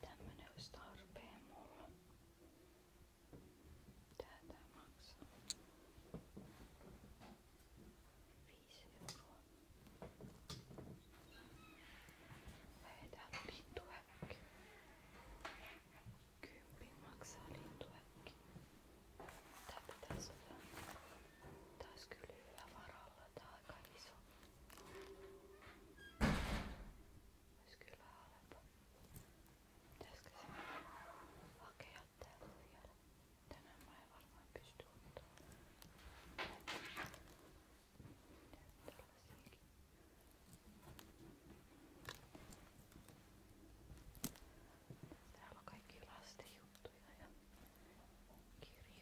Tämmönen olisi tarpeen mulla. Tää tää maksaa. 5 euroa. Ei täällä on lintuäkki. Kympin maksaa lintuäkki. Tää pitäis olla taas kyllä hyvä varalla. Tää on aika iso. Ois kyllä halpa. Pitäisikö se hakea täältä vielä? Tänään mä en varmaan pysty ottaa. Tällaisiakin. Täällä on kaikki lasten juttuja ja kirjoja.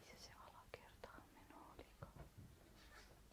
Missä se alakertaan meno olikaan? Täällä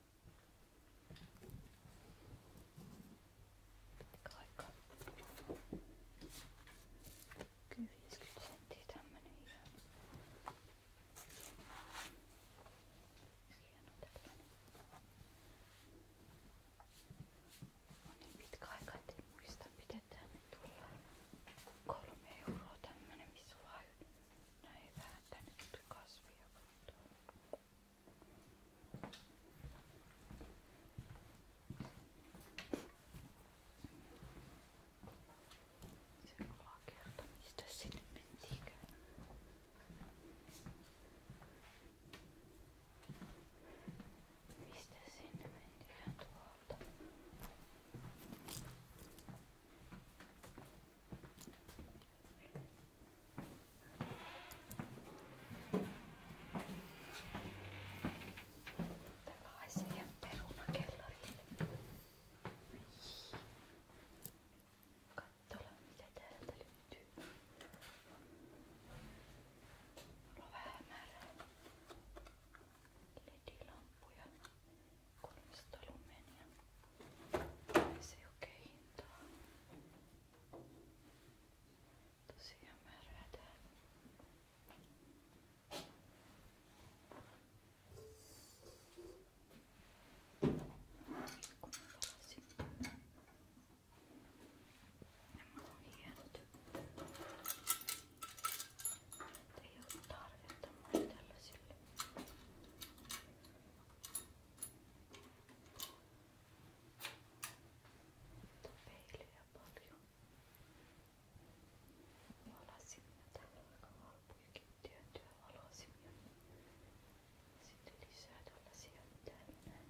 Aika. Kyllä 50 senttiä tämmönen hieno. Hieno tämmönen. On niin pitkä aika, ettei muista miten tänne tullaan. Kolme euroa tämmönen, missä vaan näin vähän tänne kasvia katsoa. Se kuulaa kerta, mistä sinne mentiinkö? Mistä sinne mentiinkään tuolta? Tämä on siihen perunakellarille. Katsotaan mitä täältä löytyy. Mulla on vähän hämärää. LED-lamppuja, kolmista lumenia. Ei se oikein hintaa. Tosiaan märhätään. Kun mä valasin. Nämä on hienot. Ei ole tarvetta mulle tällaisille. Mutta peiliä paljon. Valasimia täällä on valasimia. Sitten lisää tällaisia mitä en näe.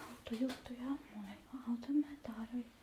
autojuttuja. Mulla ei auto, mä tarvitsen.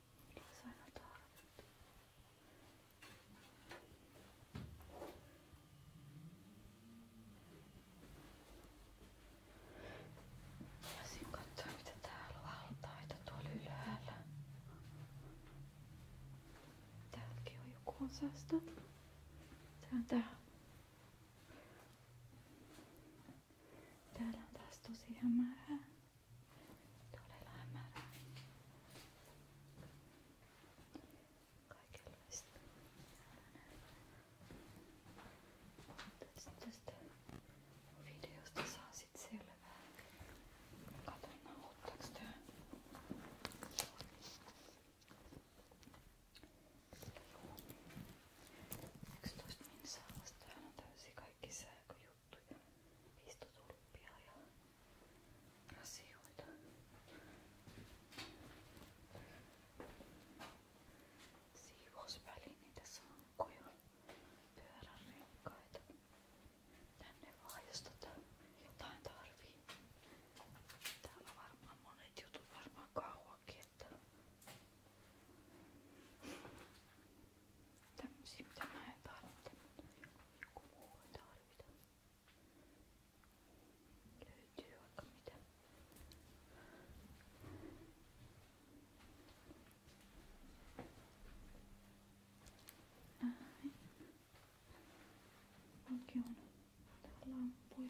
Se on aina tarvittu. Voisin katsoa mitä täällä on altaita tuolla ylhäällä. Täälläkin on joku osasta. Tää Täällä on taas tosi Todella hämärää. Kaikenlaista. Tästä, tästä videosta saa sit selvää. Katsotaan nauhoittaako tää. Yksitoista minsaa vasta. Täällä on täysin kaikki sää, kun juttuja, pistotulppia ja asioita. Siivousvälineitä, sankkoja, pyörärenkaita. Tänne vaan jos tota jotain tarvii. Täällä on varmaan monet jutut, varmaan kauankin, että Tämmösiä mitä mä en tarvitse, joku muu ei tarvita. Löytyy vaikka mitä. Näin. Onkin on täällä lampuja.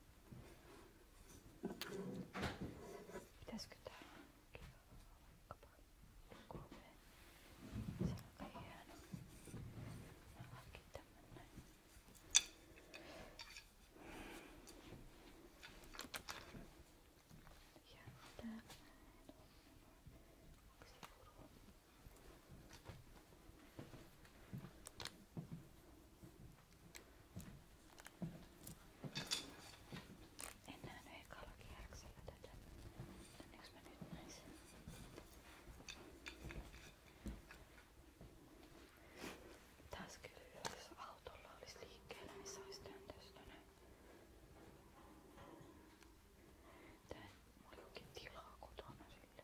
Pitäisikö tää hankkia vaikkapa kolme? Se on aika hieno. Mä hankin tämän näin. Ja täällä Täällä en nähnyt ekalla kierroksella tätä. Onneksi mä nyt näin sen. Taas kyllä, jos autolla olisi liikkeellä, niin saisi tän tästä näin. Tää mulla ei oikein tilaa kotona sille.